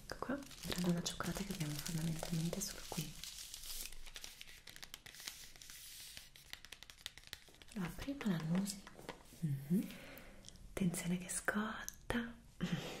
Ecco qua, era la donna cioccolata che abbiamo fondamentalmente solo qui. Allora, prima la nusi. Mm -hmm. Attenzione che scotta.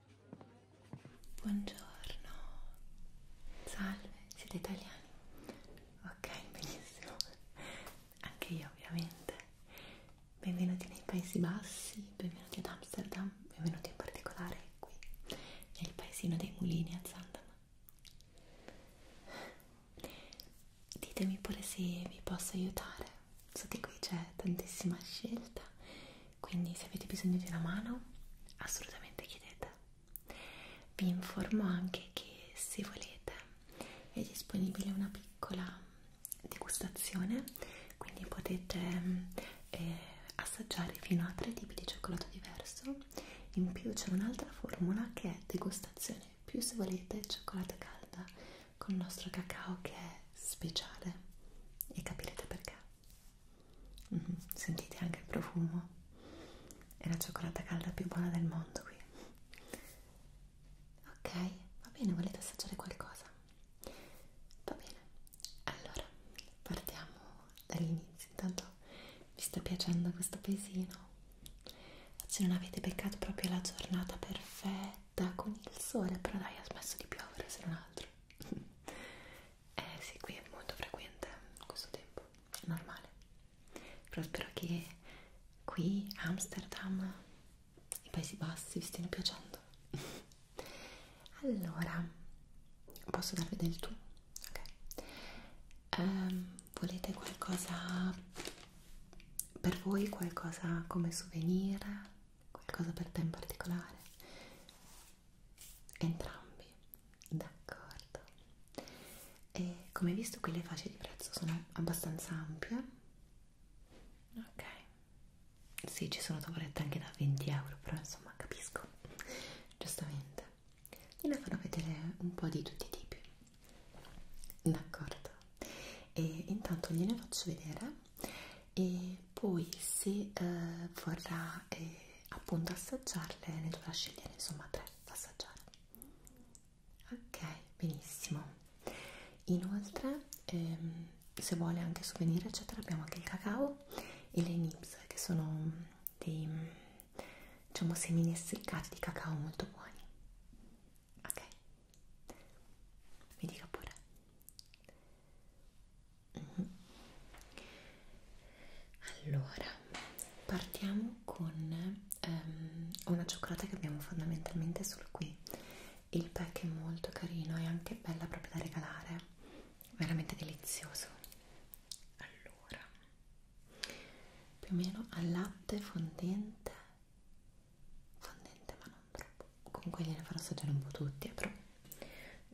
Buongiorno, salve, siete italiani? Ok, benissimo, anche io ovviamente. Benvenuti nei Paesi Bassi, benvenuti ad Amsterdam, benvenuti in particolare qui, nel paesino dei mulini a Zandam. Ditemi pure se vi posso aiutare, so che qui c'è tantissima scelta quindi se avete bisogno di una mano assolutamente chiedete vi informo anche che se volete è disponibile una piccola degustazione quindi potete mm, eh, assaggiare fino a tre tipi di cioccolato diverso in più c'è un'altra formula che è degustazione più se volete cioccolata calda con il nostro cacao che è speciale e capirete perché Mm -hmm. Sentite anche il profumo? È la cioccolata calda più buona del mondo qui. Ok, va bene, volete assaggiare qualcosa? Va bene, allora partiamo dall'inizio. Intanto vi sta piacendo questo paesino? Oggi non avete beccato proprio la giornata perfetta con il sole, però dai, ha smesso di piovere se non altro eh sì qui è molto frequente questo tempo normale però spero che qui Amsterdam i Paesi Bassi vi stiano piacendo allora posso darvi del tu? ok um, volete qualcosa per voi qualcosa come souvenir qualcosa per te in particolare Entrambi, d'accordo. E come visto qui le fasce di prezzo sono abbastanza ampie. Ok. Sì, ci sono tavolette anche da 20 euro, però insomma capisco. Giustamente. Gliele farò vedere un po' di tutti i tipi. D'accordo. E intanto gliene faccio vedere e poi se eh, vorrà... Eh, appunto assaggiarle ne dovrà scegliere insomma tre da assaggiare ok benissimo inoltre ehm, se vuole anche souvenir eccetera abbiamo anche il cacao e le nibs che sono mm, dei mm, diciamo semini essiccati di cacao molto buoni ok mi dica pure allora, partiamo con um, una cioccolata che abbiamo fondamentalmente solo qui. Il pack è molto carino e anche bella proprio da regalare, veramente delizioso. Allora, più o meno al latte fondente, fondente ma non troppo. Comunque gliene farò assaggiare un po' tutti, però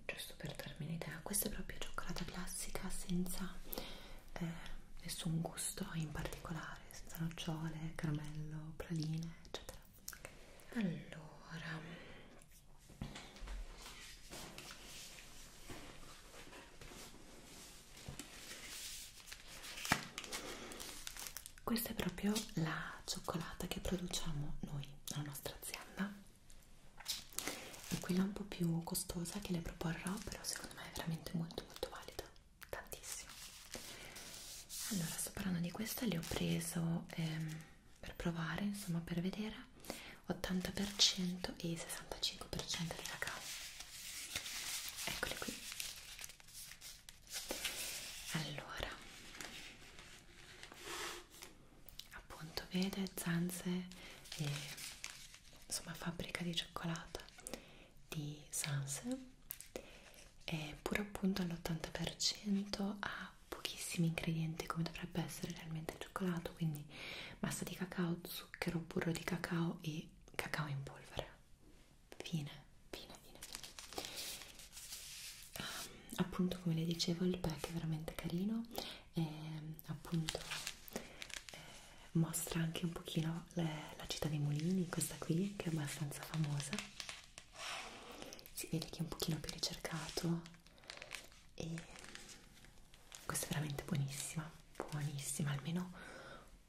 giusto per darmi un'idea questa è proprio cioccolata classica senza eh, nessun gusto in particolare senza nocciole, caramello, praline eccetera allora questa è proprio la cioccolata che produciamo noi, la nostra azienda e quella un po' più costosa che le proporrò però secondo me è veramente molto molto valida tantissimo allora sto parlando di questa le ho preso ehm, per provare insomma per vedere 80% e 65% di cacao eccole qui allora appunto vede zanze e insomma fabbrica di cioccolata di Sanse e pur appunto all'80% ha pochissimi ingredienti come dovrebbe essere realmente il cioccolato quindi massa di cacao, zucchero, burro di cacao e cacao in polvere fine, fine, fine, fine. Um, appunto come le dicevo il pack è veramente carino e appunto eh, mostra anche un pochino le, la città dei mulini, questa qui che è abbastanza famosa si vede che è un pochino più ricercato e questa è veramente buonissima buonissima, almeno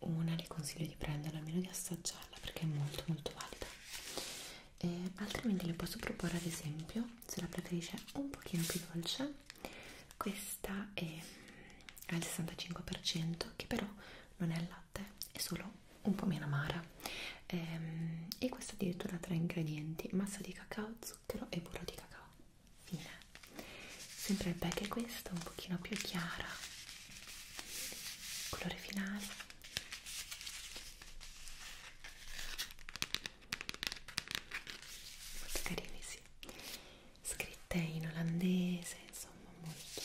una le consiglio di prenderla, almeno di assaggiarla perché è molto molto valida e altrimenti le posso proporre ad esempio se la preferisce un pochino più dolce questa è al 65% che però non è al latte è solo un po' meno amara ehm, e questa addirittura ha tre ingredienti massa di cacao, zucchero e burro di cacao fine sempre il pack è questo un pochino più chiara colore finale molto carini, sì. Scritte in olandese, insomma, molto,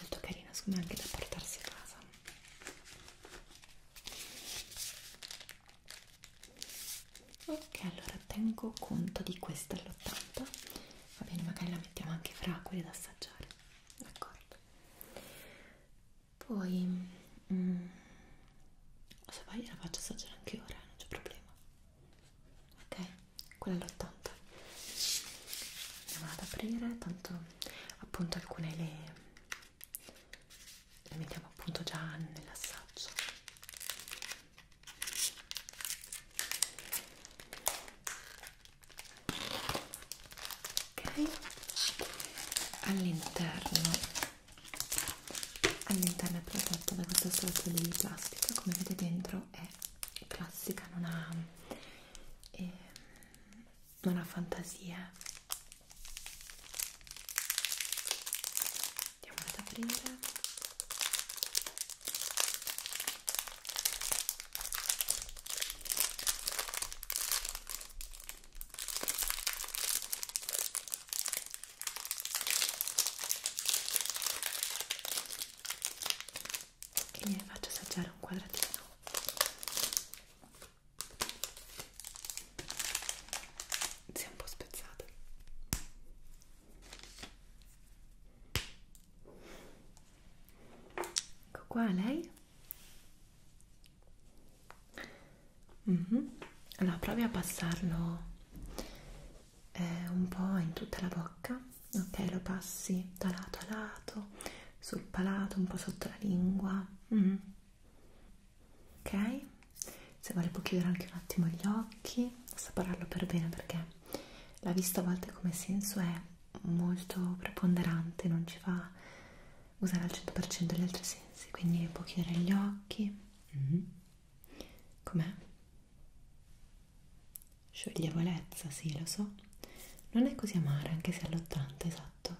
molto carino, secondo me anche da portarsi a casa. Ok, allora tengo conto di questa all'80. Va bene, magari la mettiamo anche fra quelle da assaggiare. D'accordo. Poi mm. se vai la faccio assaggiare anche ora, non c'è problema ok, quella all'80 andiamo ad aprire, tanto appunto alcune le, le mettiamo appunto già nell'assaggio ok all'interno all'interno è protetto da questa struttura di plastica come vedete dentro è classica non ha, eh, non ha fantasia andiamo ad aprire e gliene faccio assaggiare un quadratino si è un po' spezzato ecco qua lei Mm -hmm. Allora provi a passarlo eh, un po' in tutta la bocca, ok? Lo passi da lato a lato, sul palato, un po' sotto la lingua, mm -hmm. ok? Se vuole può chiudere anche un attimo gli occhi, assaporarlo per bene perché la vista a volte come senso è molto preponderante, non ci fa usare al 100% gli altri sensi, quindi può chiudere gli occhi. Mm -hmm. Com'è? Scioglievolezza, sì, lo so. Non è così amara, anche se all'80, esatto.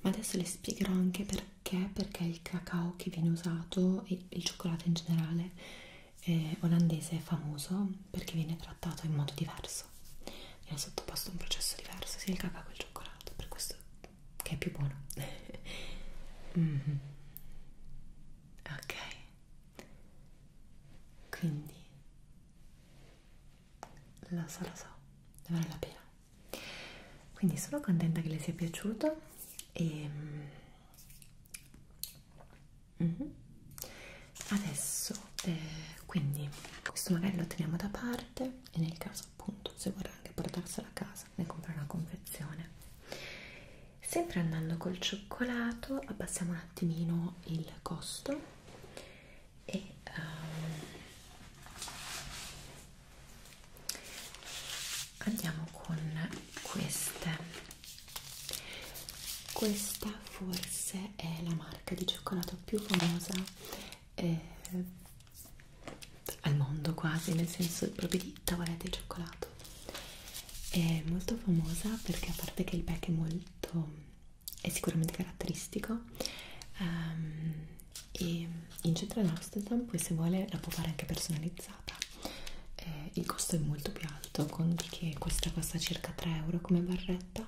Ma adesso le spiegherò anche perché, perché il cacao che viene usato, e il cioccolato in generale, eh, olandese è famoso perché viene trattato in modo diverso. Viene sottoposto a un processo diverso, sia il cacao che il cioccolato, per questo che è più buono mm -hmm. ok quindi lo so lo so ne vale la pena quindi sono contenta che le sia piaciuto e mm -hmm. adesso eh, quindi questo magari lo teniamo da parte e nel caso casa appunto se vorrà anche portarsela a casa ne compra una confezione sempre andando col cioccolato abbassiamo un attimino il costo e um, andiamo con queste questa forse è la marca di cioccolato più famosa eh, al mondo quasi, nel senso proprio di tavolette di cioccolato. È molto famosa perché a parte che il pack è molto, è sicuramente caratteristico um, e in centro ad Amsterdam poi se vuole la può fare anche personalizzata. Eh, il costo è molto più alto, conti che questa costa circa 3 euro come barretta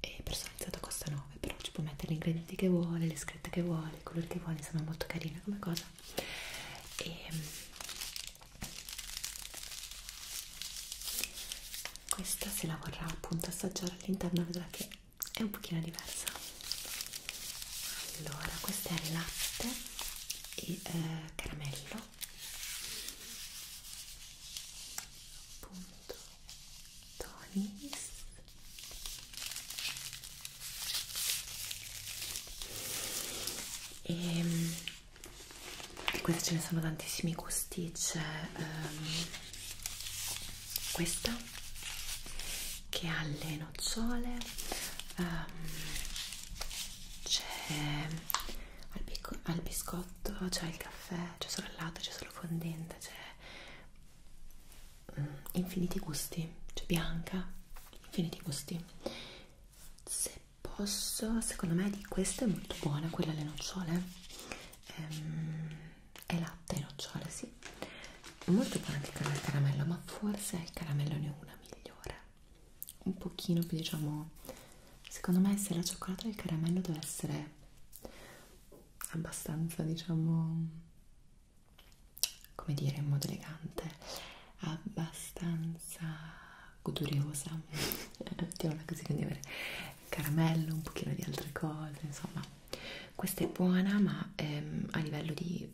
e personalizzata costa 9, però ci può mettere gli ingredienti che vuole, le scritta che vuole, il colore che vuole, insomma è molto carina come cosa e mm, questa se la vorrà appunto assaggiare all'interno vedrà che è un pochino diversa allora questa è latte e eh, caramello appunto tonis e ehm, queste ce ne sono tantissimi gusti c'è um, questa che ha le nocciole um, c'è al, al biscotto c'è il caffè c'è solo il latte c'è solo fondente c'è infiniti gusti, cioè bianca, infiniti gusti. Se posso, secondo me di questa è molto buona, quella alle nocciole, ehm, è latte e nocciole, sì. È molto buona anche quella al caramello, ma forse il caramello ne è una migliore. Un pochino più, diciamo, secondo me se la cioccolata e il caramello deve essere abbastanza, diciamo come dire in modo elegante abbastanza goduriosa mettiamola così quindi avere caramello un pochino di altre cose insomma questa è buona ma ehm, a livello di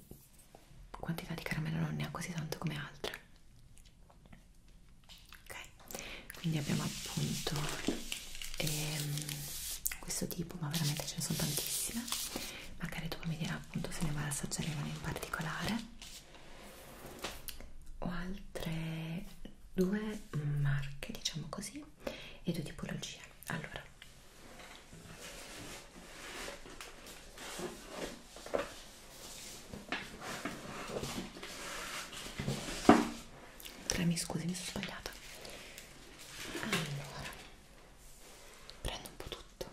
quantità di caramello non ne ha così tanto come altre ok quindi abbiamo appunto ehm, questo tipo ma veramente ce ne sono tantissime magari dopo mi dirà appunto se ne vale assaggiare una in particolare ho altre due marche diciamo così e due tipologie allora Tre, mi scusi, mi sono sbagliata. Allora, prendo un po' tutto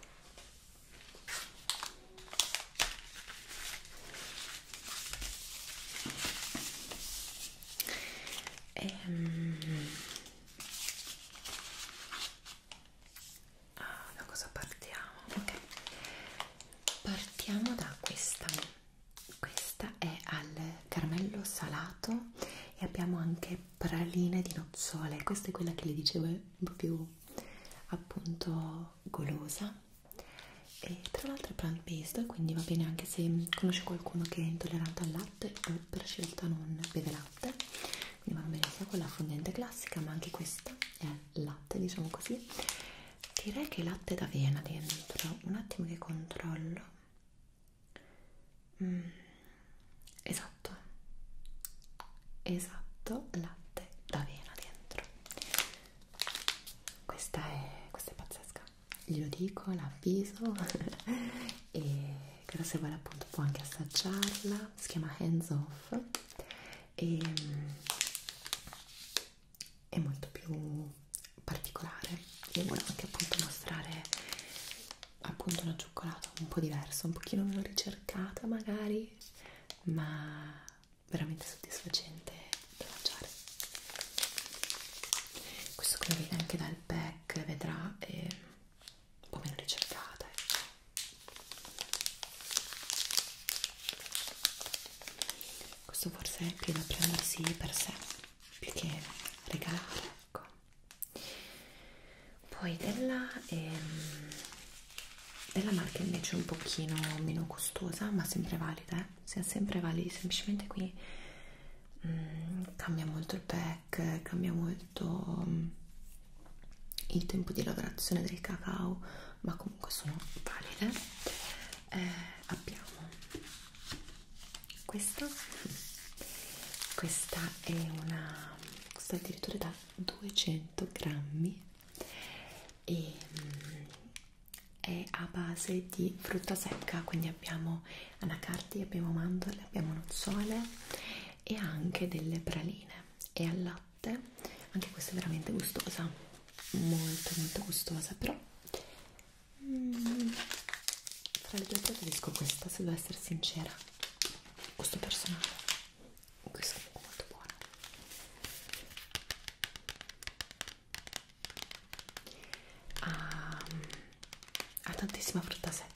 ehm... ah, da cosa partiamo? ok partiamo da questa questa è al caramello salato gelato e abbiamo anche praline di nocciole questa è quella che le dicevo è più appunto golosa e tra l'altro è plant based quindi va bene anche se conosce qualcuno che è intollerante al latte o per scelta non beve latte quindi va bene sia quella fondente classica ma anche questa è latte diciamo così direi che latte d'avena dentro un attimo che controllo Mm, esatto esatto latte d'avena dentro questa è, questa è pazzesca glielo dico l'avviso e credo se vuole appunto può anche assaggiarla si chiama hands off e mm, è molto più particolare e volevo anche appunto mostrare appunto una cioccolata un po' diversa, un pochino meno ricercata magari, ma veramente soddisfacente da mangiare. Questo che lo vede anche dal pack, vedrà, è un po' meno ricercata. Ecco. Questo forse è più da prendersi per sé, più che regalare, ecco poi della, ehm, della marca invece un pochino meno costosa ma sempre valida eh? Se sempre validi semplicemente qui mm, cambia molto il pack cambia molto um, il tempo di lavorazione del cacao ma comunque sono valide eh, abbiamo questa questa è una costa addirittura da 200 grammi e mm, è a base di frutta secca quindi abbiamo anacardi, abbiamo mandorle, abbiamo nozzole e anche delle praline e al latte anche questa è veramente gustosa molto molto gustosa però mm, fra le due preferisco questa se devo essere sincera gusto personale questo è comunque molto buono ha, ehm, ha tantissima frutta secca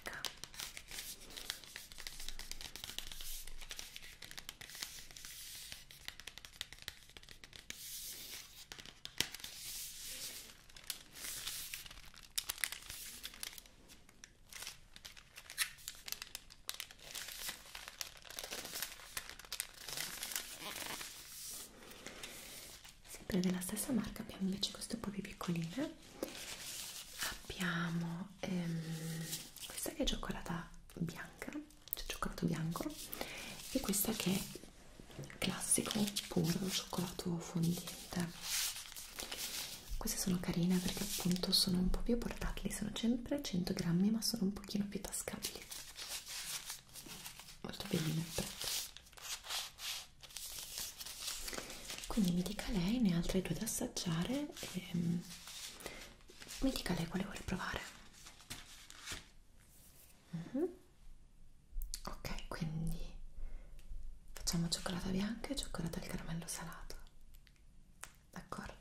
sempre della stessa marca abbiamo invece questo po' di piccoline abbiamo ehm, questa che è cioccolata bianca cioè cioccolato bianco e questa che è classico puro cioccolato fondente queste sono carine perché appunto sono un po' più portatili, sono sempre 100 grammi ma sono un pochino più tascabili. Molto belline il prezzo. Quindi mi dica lei, ne ha altre due da assaggiare e ehm, mi dica lei quale vuole provare. Mm -hmm. Ok, quindi facciamo cioccolata bianca e cioccolata al caramello salato d'accordo?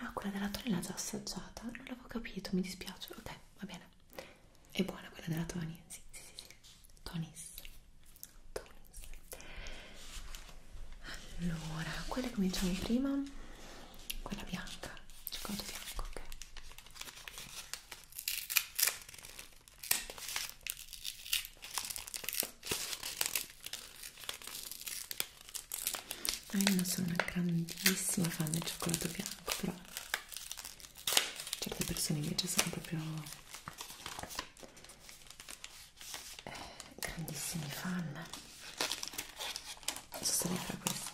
Ah, quella della Tony l'ha già assaggiata, non l'avevo capito, mi dispiace. Ok, va bene. È buona quella della Tony? Sì, sì, sì, sì. Tonis. Tonis. Allora, quella che cominciamo prima, quella bianca, cioccolato bianco, ok. Ah, io non sono una grandissima fan del cioccolato bianco, però certe persone invece sono proprio eh, grandissimi fan. Sono sarei fra questi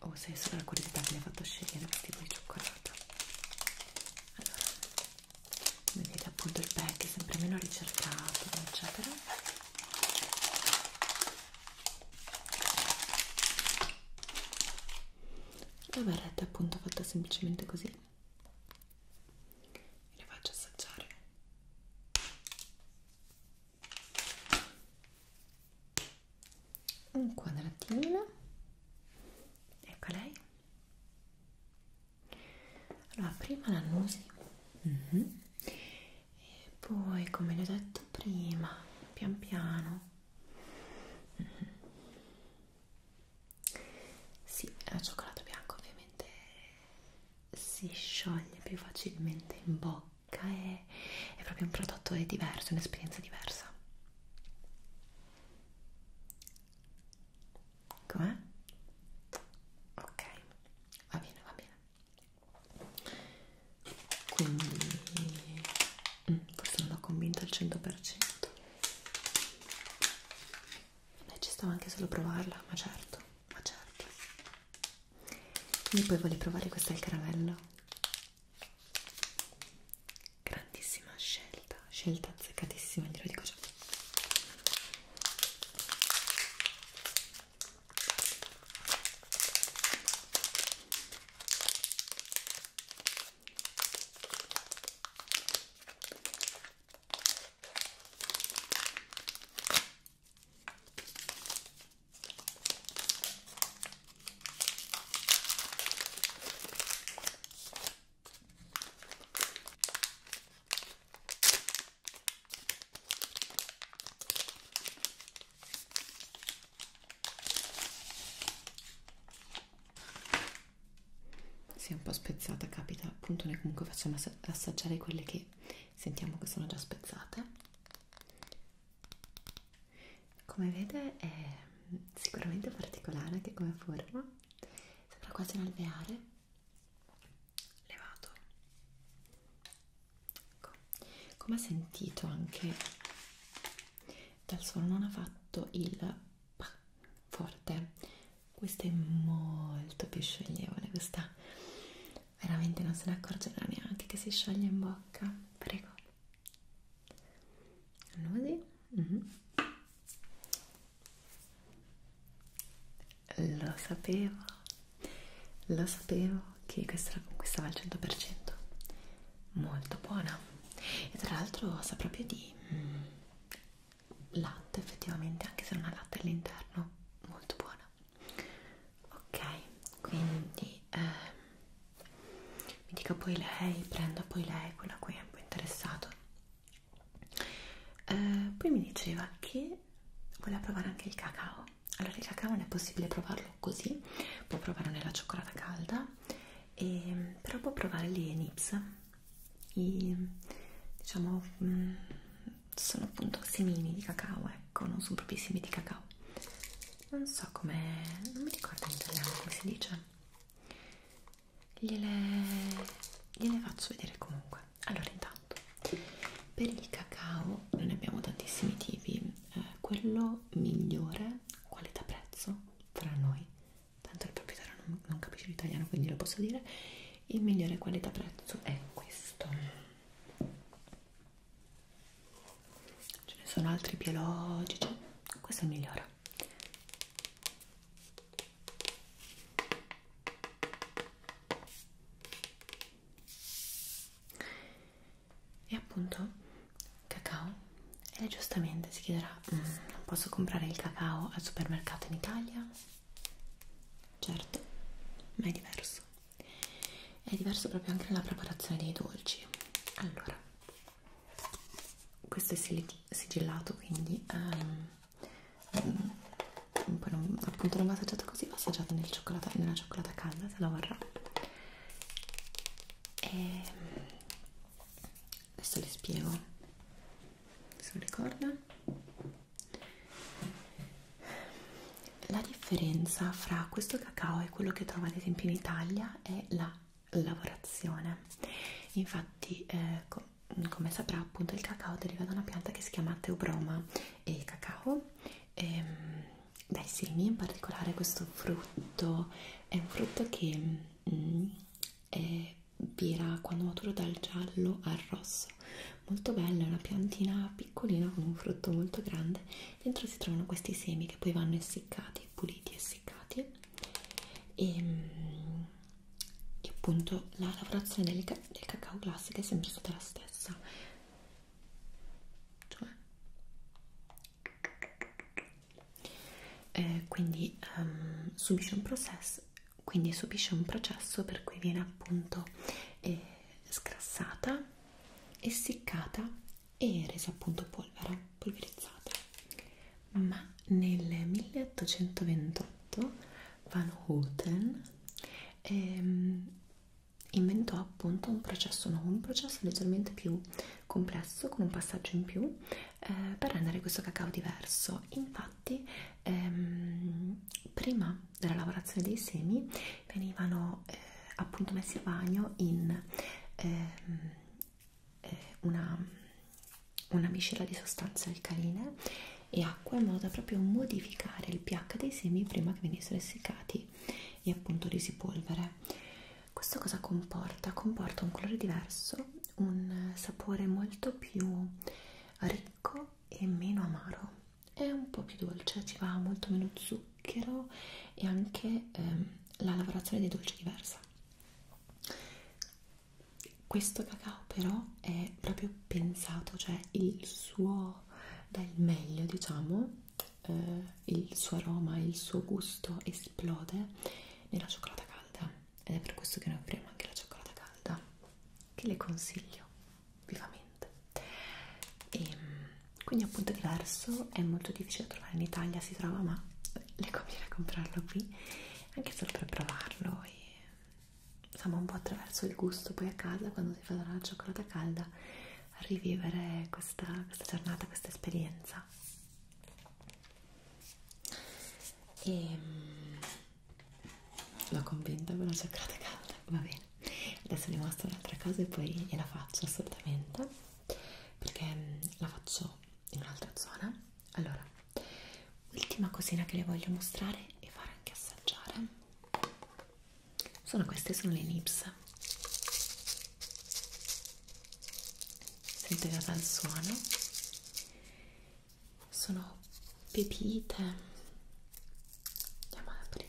o oh, se è solo la curiosità che mi ha fatto scegliere questo tipo di cioccolato allora vedete appunto il pack è sempre meno ricercato eccetera la barretta è appunto fatta semplicemente così e le faccio assaggiare un quadratino ecco lei allora prima la nusi mm -hmm. e poi come le ho detto prima pian piano mm -hmm. sì la cioccolato bianco ovviamente si scioglie più facilmente in bocca è, è proprio un prodotto diverso un'esperienza diversa Com'è? Ok, va bene, va bene. Quindi mm, forse non l'ho convinta al 100%. Beh, ci stava anche solo provarla, ma certo, ma certo. E poi volevo provare questo al caramello grandissima scelta scelta azzeccatissima glielo dico già si è un po' spezzata capita appunto noi comunque facciamo assaggiare quelle che sentiamo che sono già spezzate come vede è sicuramente particolare anche come forma sembra quasi un alveare levato ecco. come ha sentito anche dal suono non ha fatto il pa forte questa è molto più scioglievole questa veramente non se ne accorgerà neanche che si scioglie in bocca prego Così. Mm -hmm. Lo sapevo, lo sapevo che questa la conquistava al 100%. Molto buona. E tra l'altro sa proprio di mm, latte effettivamente, anche se non ha latte all'interno. Molto buona. Ok, quindi eh, mi dica poi lei, prenda poi lei, quella a cui è un po' interessato. Eh, poi mi diceva che voleva provare anche il cacao. Allora il cacao non è possibile provarlo così, può provare nella cioccolata calda, e, ehm, però può provare le nips, i, diciamo, mh, mm, sono appunto semini di cacao, ecco, non sono proprio i semi di cacao. Non so come, non mi ricordo in italiano come si dice gliele, gliele faccio vedere comunque allora intanto per il cacao ne abbiamo tantissimi tipi eh, quello migliore qualità prezzo tra noi tanto il proprietario non, non capisce l'italiano quindi lo posso dire il migliore qualità prezzo è questo ce ne sono altri biologici questo è il migliore e appunto cacao e giustamente si chiederà non mm, posso comprare il cacao al supermercato in Italia? certo ma è diverso è diverso proprio anche nella preparazione dei dolci allora questo è Silly sigillato quindi um, um, poi non, appunto non va assaggiata così va assaggiata nel cioccolata, nella cioccolata calda se la vorrà e ehm, adesso le spiego sulle corde la differenza fra questo cacao e quello che trovate ad esempio in Italia è la lavorazione infatti eh, com come saprà appunto il cacao deriva da una pianta che si chiama teobroma e cacao e, ehm, dai semi in particolare questo frutto è un frutto che mm, è vira quando maturo dal giallo al rosso molto bella, è una piantina piccolina con un frutto molto grande dentro si trovano questi semi che poi vanno essiccati, puliti essiccati e, mm, e appunto la lavorazione del, del cacao classico è sempre stata la stessa cioè eh, quindi um, subisce un processo quindi subisce un processo per cui viene appunto eh, scrassata, essiccata e resa appunto polvere, polverizzata ma nel 1828 Van Houten ehm, inventò appunto un processo nuovo, un processo leggermente più complesso, con un passaggio in più, eh, per rendere questo cacao diverso. Infatti, ehm, prima della lavorazione dei semi venivano eh, appunto messi a bagno in ehm, eh, una, una miscela di sostanze alcaline e acqua in modo da proprio modificare il pH dei semi prima che venissero essiccati e appunto resi polvere. Questo cosa comporta? Comporta un colore diverso, un sapore molto più ricco e meno amaro. È un po' più dolce, ci va molto meno zucchero e anche ehm, la lavorazione dei dolci diversa questo cacao però è proprio pensato, cioè il suo dà il meglio, diciamo, eh, il suo aroma, il suo gusto esplode nella cioccolata calda ed è per questo che noi offriamo anche la cioccolata calda, che le consiglio vivamente. E, ehm, quindi appunto è diverso, è molto difficile da trovare in Italia, si trova ma le conviene comprarlo qui anche solo per provarlo e insomma un po' attraverso il gusto poi a casa quando si fa la cioccolata calda a rivivere questa, questa giornata, questa esperienza e ehm, l'ho convinta con la cioccolata calda, va bene adesso è rimasta un'altra cosa e poi gliela faccio assolutamente perché mm, la faccio in un'altra zona allora Ultima cosina che le voglio mostrare e fare anche assaggiare sono queste, sono le nips. Sento che dal suono sono pepite. Andiamo ad aprire.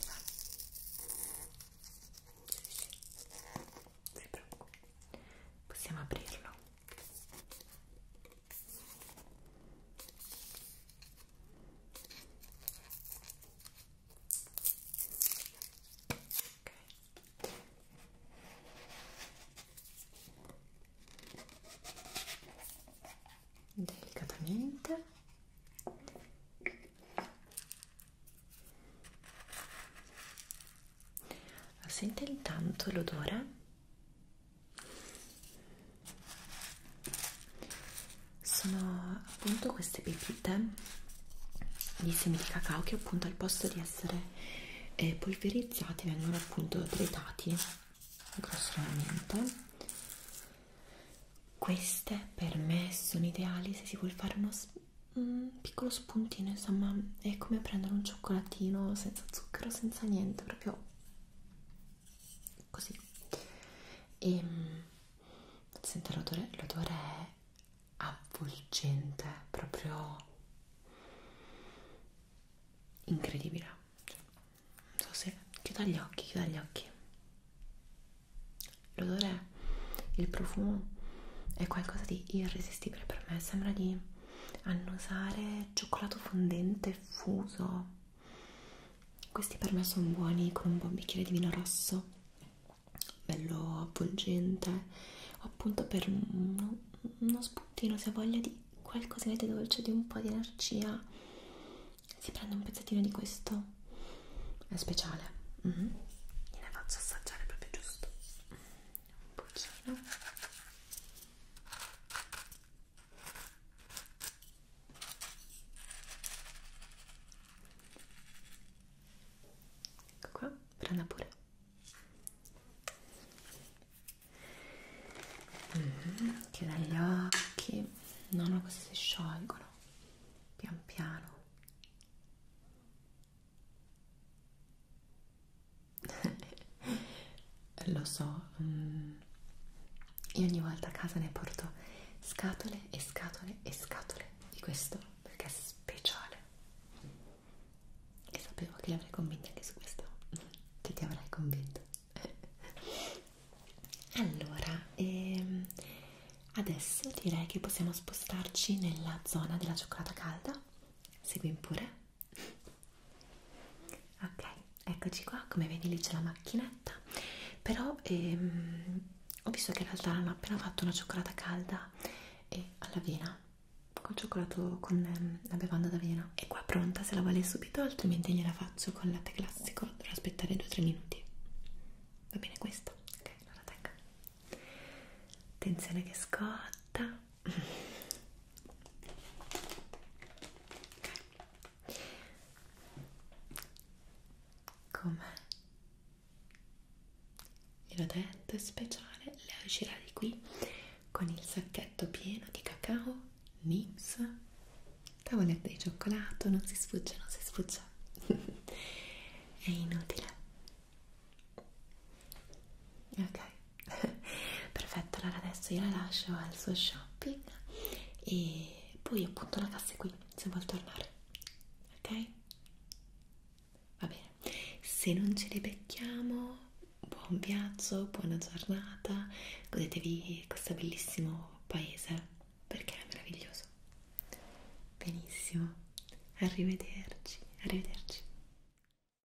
Sì, sì. Possiamo aprirlo delicatamente la sente intanto l'odore? Sono appunto queste pepite di semi di cacao che appunto al posto di essere eh, polverizzati vengono appunto tritati grossolanamente. Queste per me sono ideali se si vuol fare uno mm, piccolo spuntino, insomma, è come prendere un cioccolatino senza zucchero, senza niente, proprio così. E ehm, sente l'odore, l'odore è avvolgente, proprio incredibile. Cioè, non so se chiuda gli occhi, chiuda gli occhi. L'odore, il profumo è qualcosa di irresistibile per me, sembra di annusare cioccolato fondente fuso questi per me sono buoni con un buon bicchiere di vino rosso bello avvolgente appunto per uno, uno spuntino se voglia di qualcosina di dolce di un po' di energia si prende un pezzettino di questo è speciale mm -hmm. gliene faccio assaggiare proprio giusto un pochino ecco qua, prenda pure mm, mm-hmm, chiuda gli occhi no, no, questi si sciolgono pian piano Lo so, mm. io ogni volta a casa ne porto scatole e scatole e scatole di questo perché è speciale e sapevo che li avrei convinti anche su questo, che ti avrai convinto. Allora, ehm, adesso direi che possiamo spostarci nella zona della cioccolata calda. Segui pure ok eccoci qua come vedi lì c'è la macchinetta però ehm, ho visto che in realtà hanno appena fatto una cioccolata calda e all'avena col cioccolato con ehm, la bevanda d'avena è qua pronta se la vuole subito altrimenti gliela faccio con latte classico dovrò aspettare 2-3 minuti va bene questo ok allora tengo attenzione che scotta Com'è? Ve l'ho detto, è speciale. Lei uscirà di qui con il sacchetto pieno di cacao, nips, tavolette di cioccolato, non si sfugge, non si sfugge. è inutile ok perfetto allora adesso io la lascio al suo shopping e poi appunto la cassa è qui se vuol tornare ok va bene se non ce li becchiamo buon viaggio buona giornata godetevi questo bellissimo paese perché è meraviglioso benissimo arrivederci arrivederci